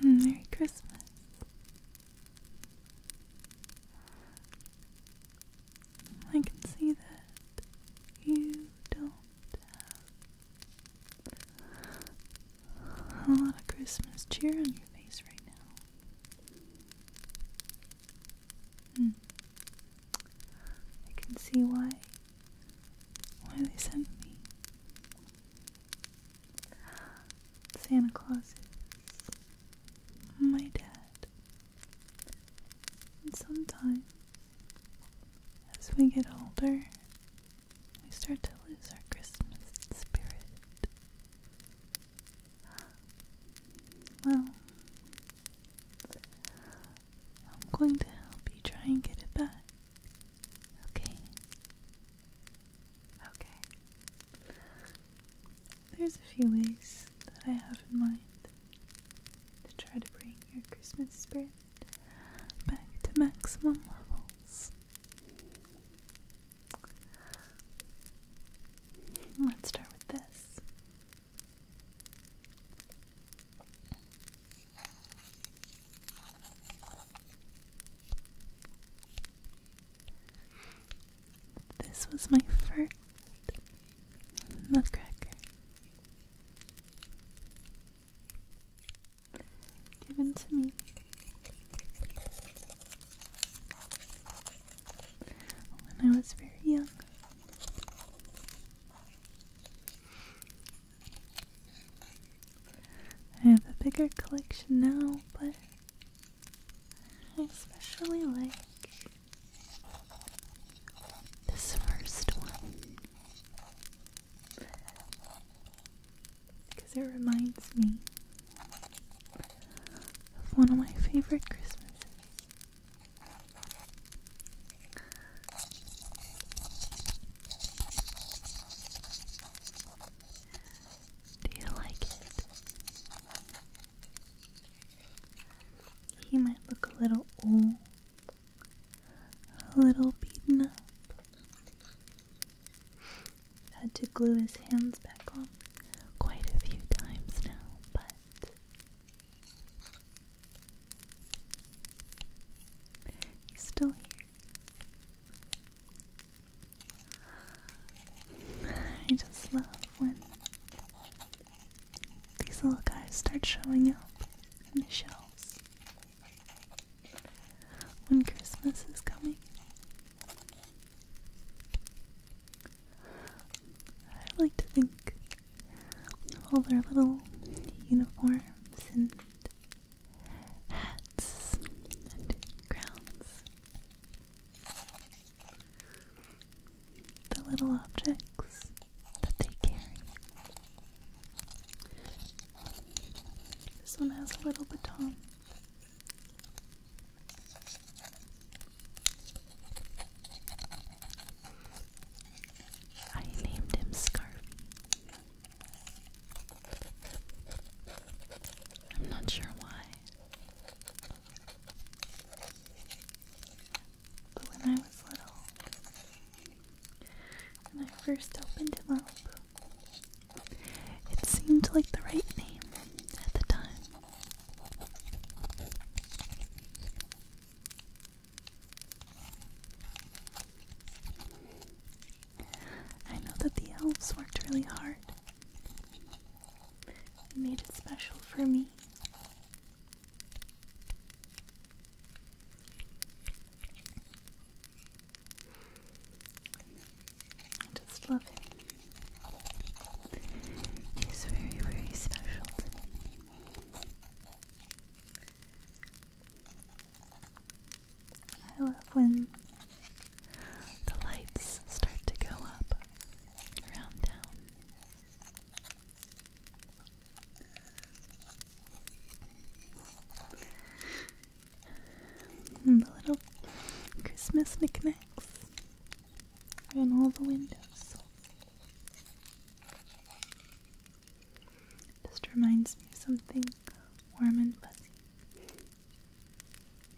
Merry Christmas. I can see that you don't have a lot of Christmas cheer on your face right now. Hmm. I can see why. Why they sent me. Santa Claus is my dad. And sometimes, as we get older, we start to lose our Christmas spirit. Well, I'm going to help you try and get it back. Okay. Okay. There's a few ways that I have in mind to try to bring your Christmas spirit back to maximum levels. Let's start with this. This was my first nutcracker given to me. When I was very young. I have a bigger collection now, but I especially like this first one. Because it reminds me of one of my favorite Christmases. Do you like it? He might look a little old a little beaten up. Had to glue his hands back on quite a few times now, but he's still here. I just love when these little guys start showing up in the shelves when Christmas is coming. I like to think of all their little uniforms and hats and crowns. The little objects that they carry. This one has a little baton. I named him Scarf. I'm not sure why. But when I was little, when I first opened him up. It seemed like the right name at the time. I know that the elves worked really hard. They made it special for me. I just love him. He's very, very special to me. I love when the lights start to go up around town. And the little Christmas knickknacks are in all the windows. Just reminds me of something warm and fuzzy.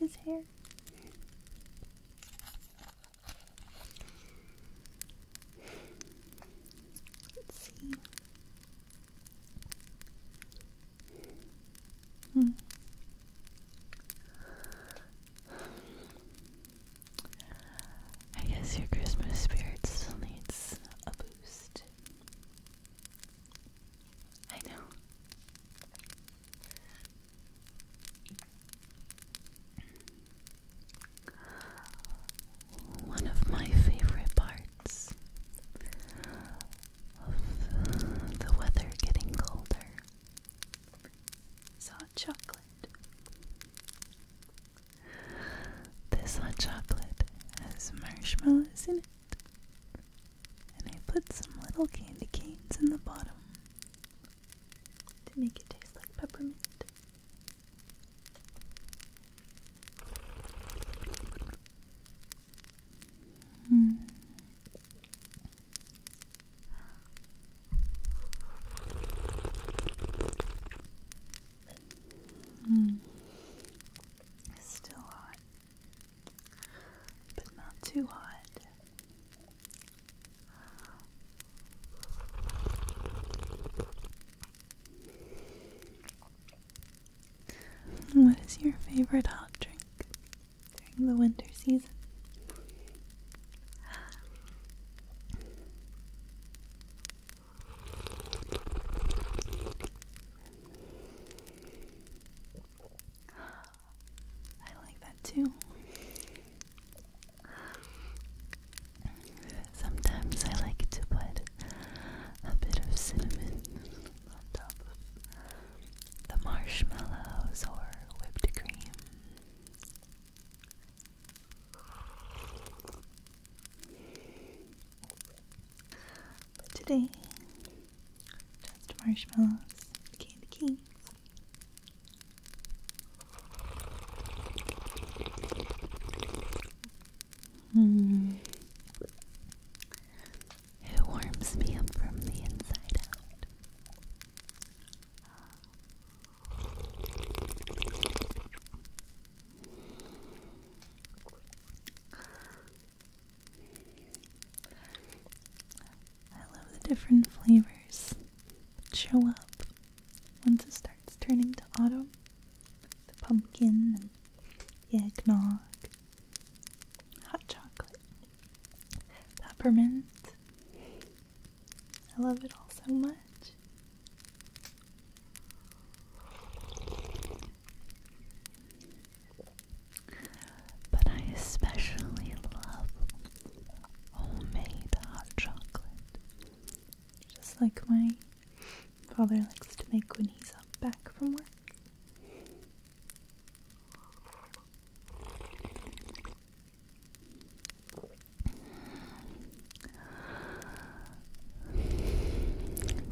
His hair. Let's see. Hmm. I guess your Christmas spirit still needs a boost. I know. One of my favorite parts of the weather getting colder. It's hot chocolate. This hot chocolate has marshmallows in it, and I put some little candy canes in the bottom to make it taste like peppermint. Mm. Mm. still hot, but not too hot. What is your favorite hot drink during the winter season? I like that too sometimes I like to put a bit of cinnamon on top of the marshmallows or whipped cream. But today, just marshmallows, candy cane. Hmm. It warms me up from the inside out. I love the different flavors that show up once it starts turning to autumn. The pumpkin and eggnog, hot chocolate, peppermint. I love it all so much. But I especially love homemade hot chocolate, just like my Father likes to make when he's up back from work.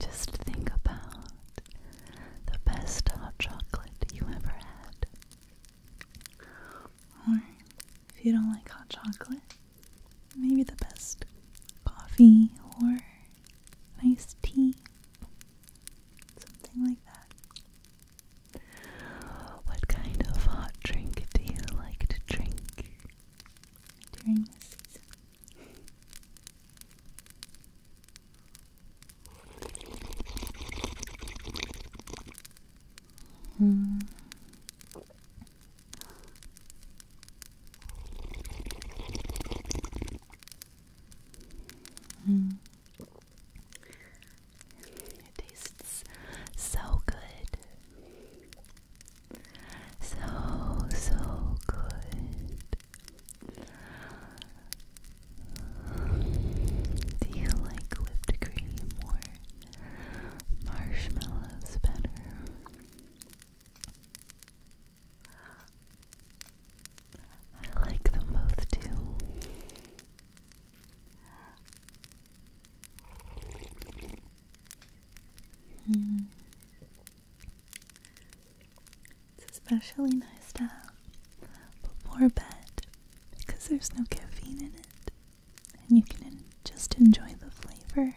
Just think about the best hot chocolate you ever had. Or if you don't like hot chocolate, maybe the best coffee or nice tea, something like that. What kind of hot drink do you like to drink during the season? Mm. Mm. It tastes so good. So, so good. Do you like whipped cream or marshmallows better? I like them both too. Hmm. It's especially nice to have before bed because there's no caffeine in it and you can just enjoy the flavor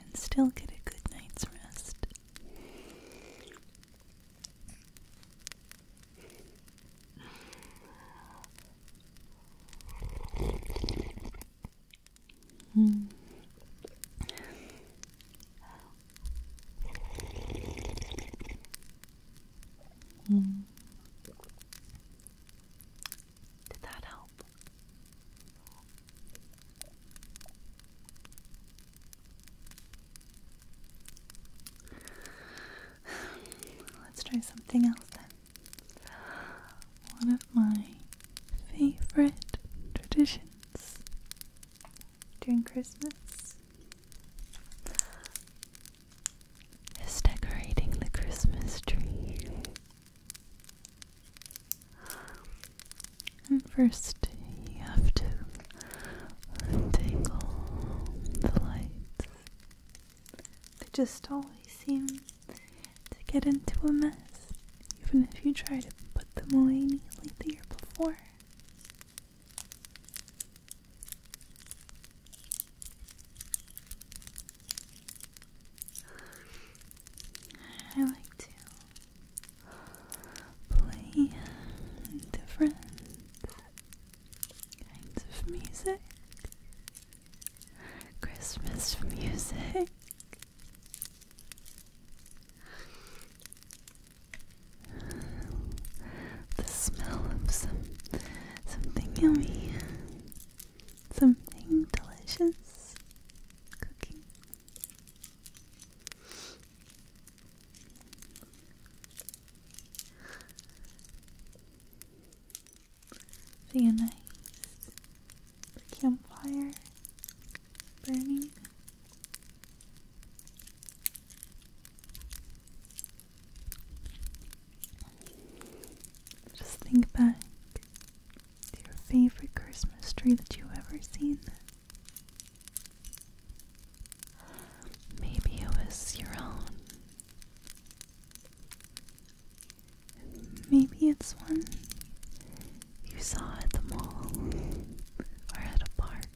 and still get a good night's rest. Mm. Mm. Did that help? Let's try something else then. One of my favorite traditions during Christmas is decorating the Christmas tree. And first, you have to untangle the lights. They just always seem to get into a mess, even if you try to put them away neatly the year before. I like to play different kinds of music. Christmas music. The smell of some something yummy, something delicious cooking. Seeing a nice campfire burning. Just think back your favorite Christmas tree that you've ever seen? Maybe it was your own. Maybe it's one you saw at the mall or at a park.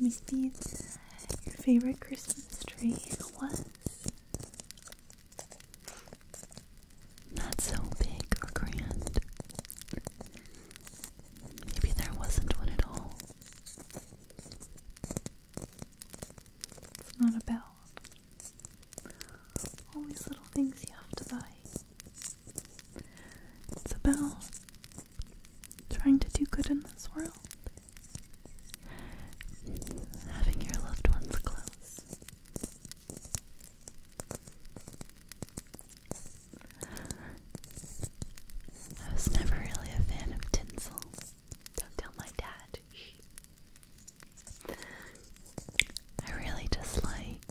Misty, your favorite Christmas tree was not so big or grand. Maybe there wasn't one at all. It's not a bell. All these little things you have to buy. It's about trying to do good in this world. Having your loved ones close. I was never really a fan of tinsel. Don't tell my dad. I really dislike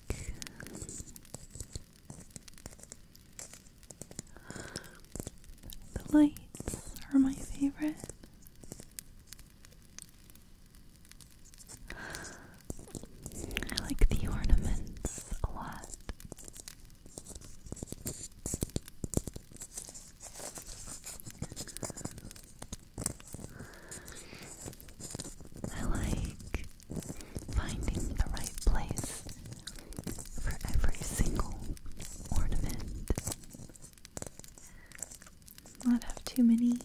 the lights are my favorite. I like the ornaments a lot. I like finding the right place for every single ornament. Not have too many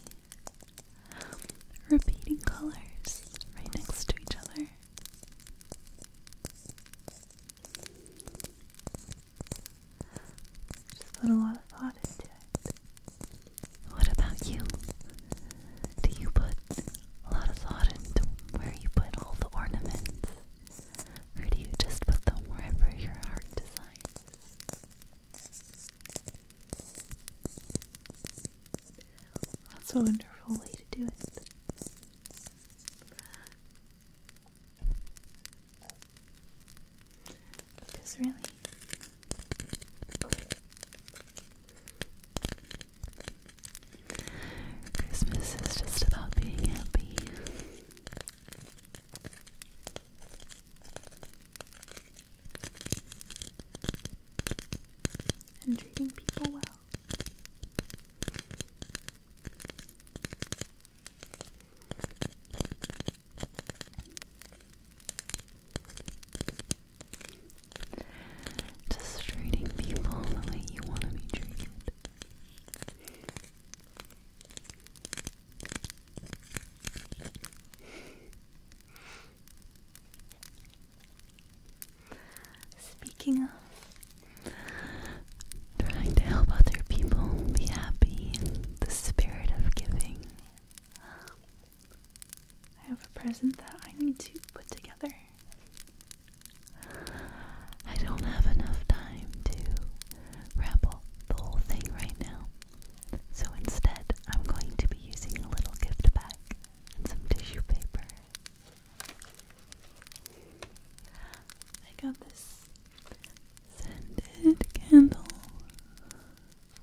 repeating colors right next to each other. Just put a lot of thought into it. What about you? Do you put a lot of thought into where you put all the ornaments? Or do you just put them wherever your heart desires? That's a wonderful way to do it. Because really, Christmas is just about being happy. And treating people well treating people the way you want to be treated. Speaking of trying to help other people be happy, the spirit of giving. I have a present that I need to put together. I don't have enough time to wrap up the whole thing right now. So instead, I'm going to be using a little gift bag and some tissue paper. I got this scented candle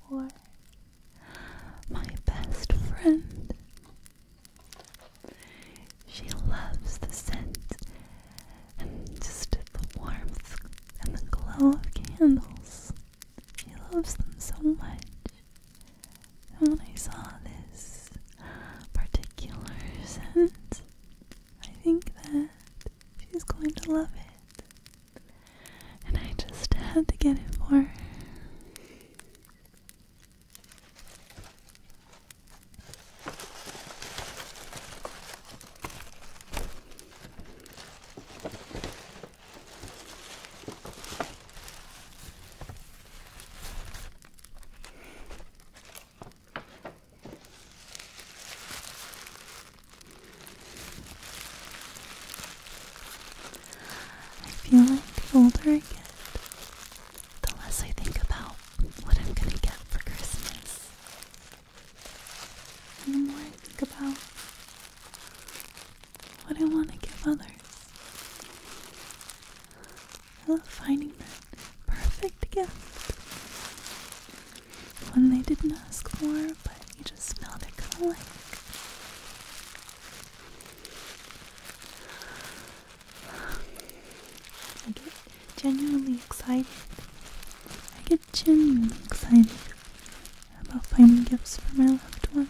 for my best friend. She loves the scent and just the warmth and the glow of candles. She loves them so much. when I saw this particular scent, I think that she's going to love it. And I just had to get it for her. I feel like the older I get, the less I think about what I'm gonna get for Christmas. And the more I think about what I want to give others. I love finding that perfect gift. One they didn't ask for, but you just felt it are going like. I get genuinely excited. I get genuinely excited about finding gifts for my loved ones.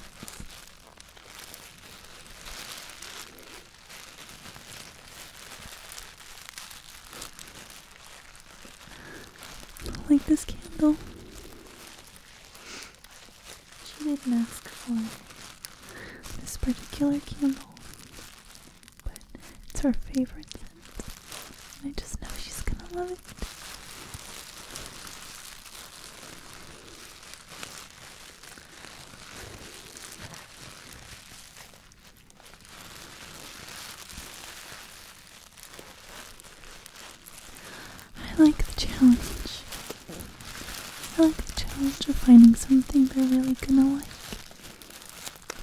Like this candle. She didn't ask for this particular candle, but it's our favorite scent. And I just know she's gonna love it. I like the challenge. I like the challenge of finding something they're really gonna like,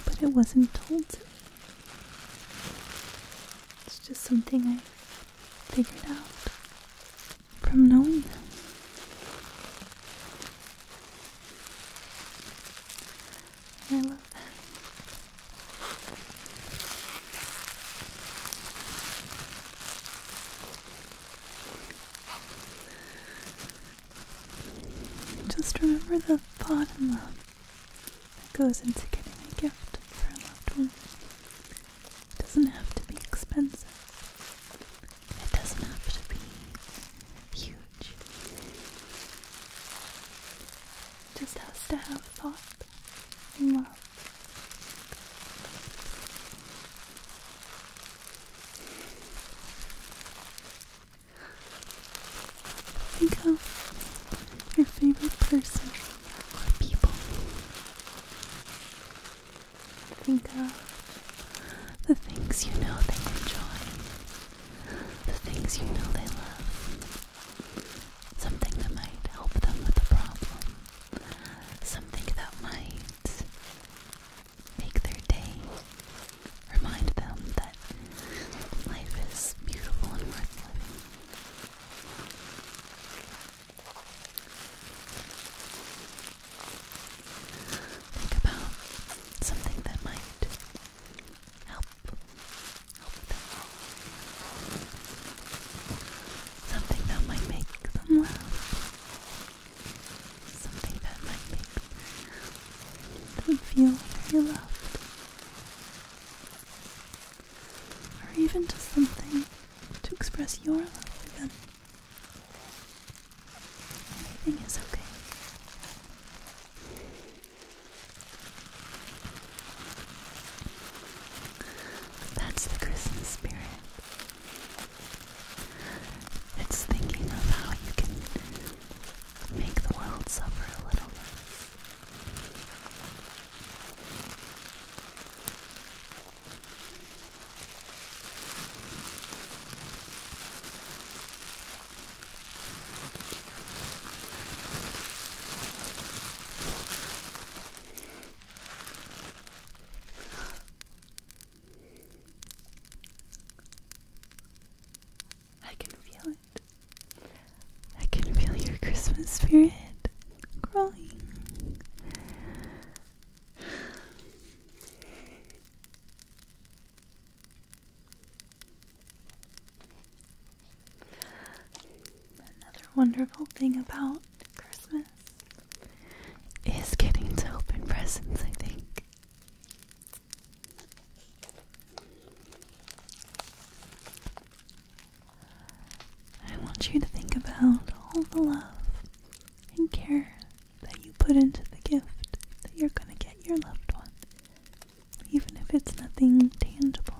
but it wasn't told to me. It's just something I figured out from knowing them. I love that. Just remember the thought and love that goes into getting a gift for a loved one. doesn't have to be expensive. It doesn't have to be huge. just has to have thought and love. Think of your favorite person or people. Think of the things you know they enjoy, the things you know they love, something that might help them with a the problem, something that might make their day. Remind them that life is beautiful and worth living. Think about something that might help help them. Something that might make them laugh. Something that might make them feel very loved. Or even to something to express your love again. them. is okay. That's the Christmas spirit. It's thinking of how you can make the world suffer a little less. I can feel it. I can feel your Christmas spirit growing. Another wonderful thing about Christmas is getting to open presents, I think. I want you to think about all the love and care that you put into the gift that you're going to get your loved one, even if it's nothing tangible.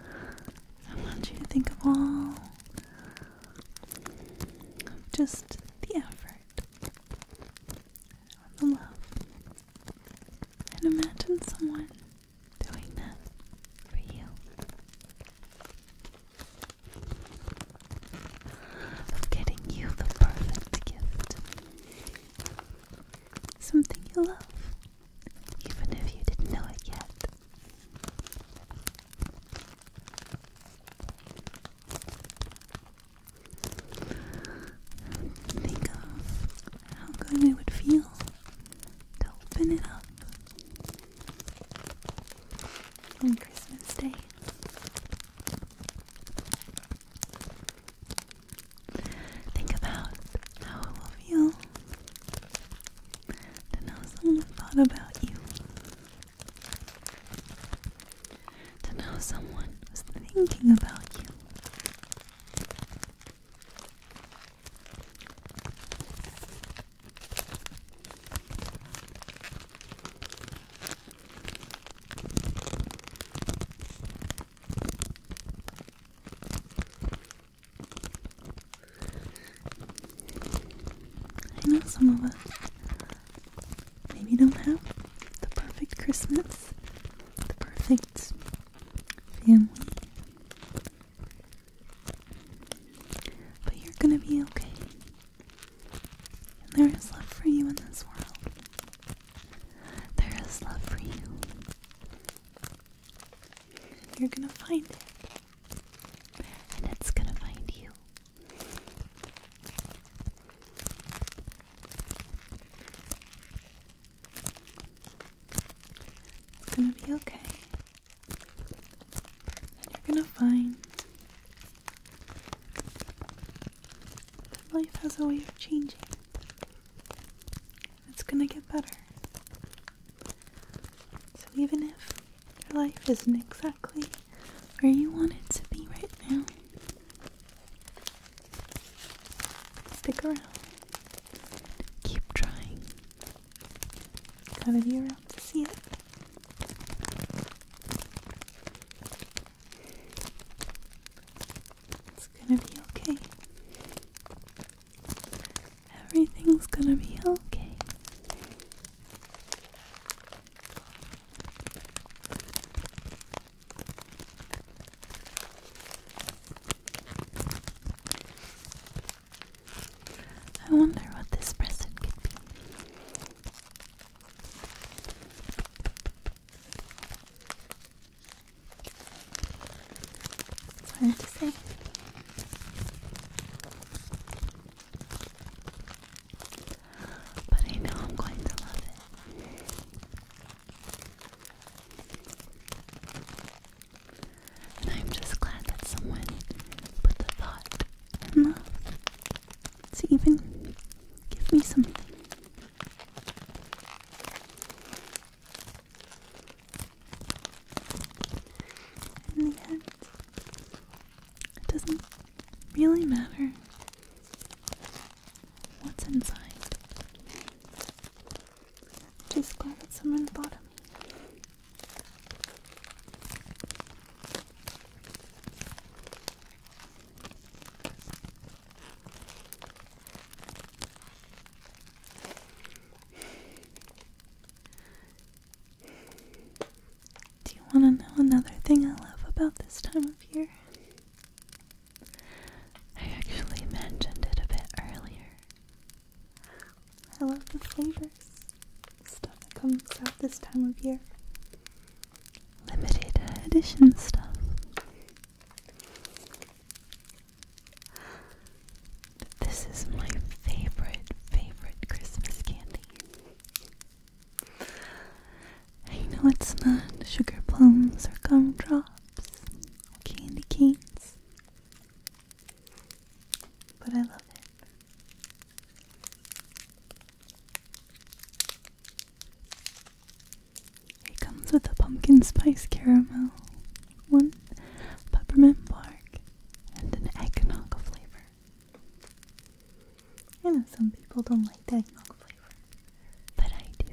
I want you to think of all just the effort and the love. And imagine someone doing that for you. Of getting you the perfect gift. Something you love, even if you didn't know it yet. Think of how good it would feel to open it up on Christmas Day. Think about how it will feel to know someone thought about you to know someone was thinking about you. I know some of us maybe don't have the perfect Christmas, the perfect family. But you're gonna be okay. And there is love for you in this world. There is love for you. you're gonna find it and it's gonna find you. It's gonna be okay. And you're gonna find that life has a way of changing. It's gonna get better. So even if your life isn't exactly where you want it to be right now. Stick around. Keep trying. Gotta be around to see it. It's gonna be okay. Everything's gonna be okay. I wonder what this present could be. It's hard to but I know I'm going to love it. And I'm just glad that someone put the thought and love to even give me something. In the end, it doesn't really matter what's inside. Just glad that someone thought of me. Do you want to know another thing I love about this time of year? I actually mentioned it a bit earlier. I love the flavors. Stuff that comes out this time of year. Limited edition stuff. this is my favorite, favorite Christmas candy. I know it's not sugar plums or gumdrops or candy canes, but I love it. It comes with a pumpkin spice caramel, one peppermint bark, and an eggnog flavor. I know some people don't like that milk flavor, but I do.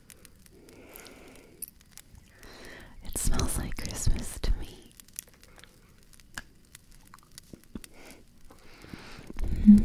It smells like Christmas to me. -hmm. -hmm.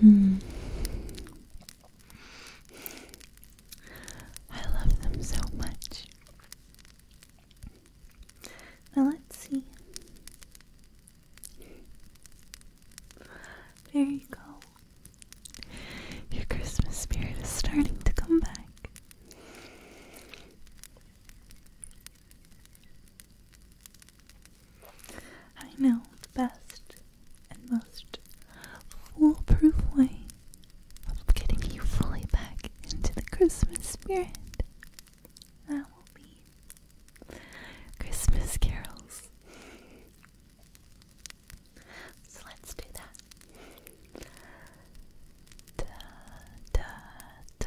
Hmm. I love them so much. Now let's see. There you go. Your Christmas spirit is starting to come back. I know the best and most foolproof way of getting you fully back into the Christmas spirit. That will be Christmas carols. So let's do that. Da, da, da.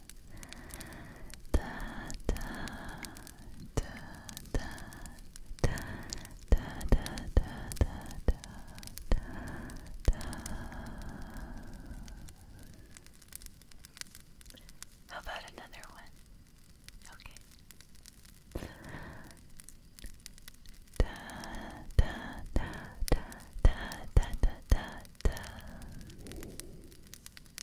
How about another one? Okay.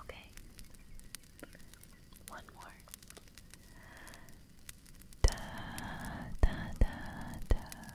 Okay. One more. Da da da da.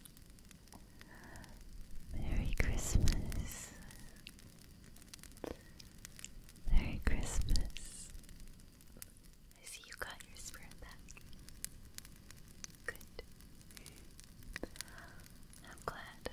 Merry Christmas. Merry Christmas. I see you got your spirit back. Good. I'm glad.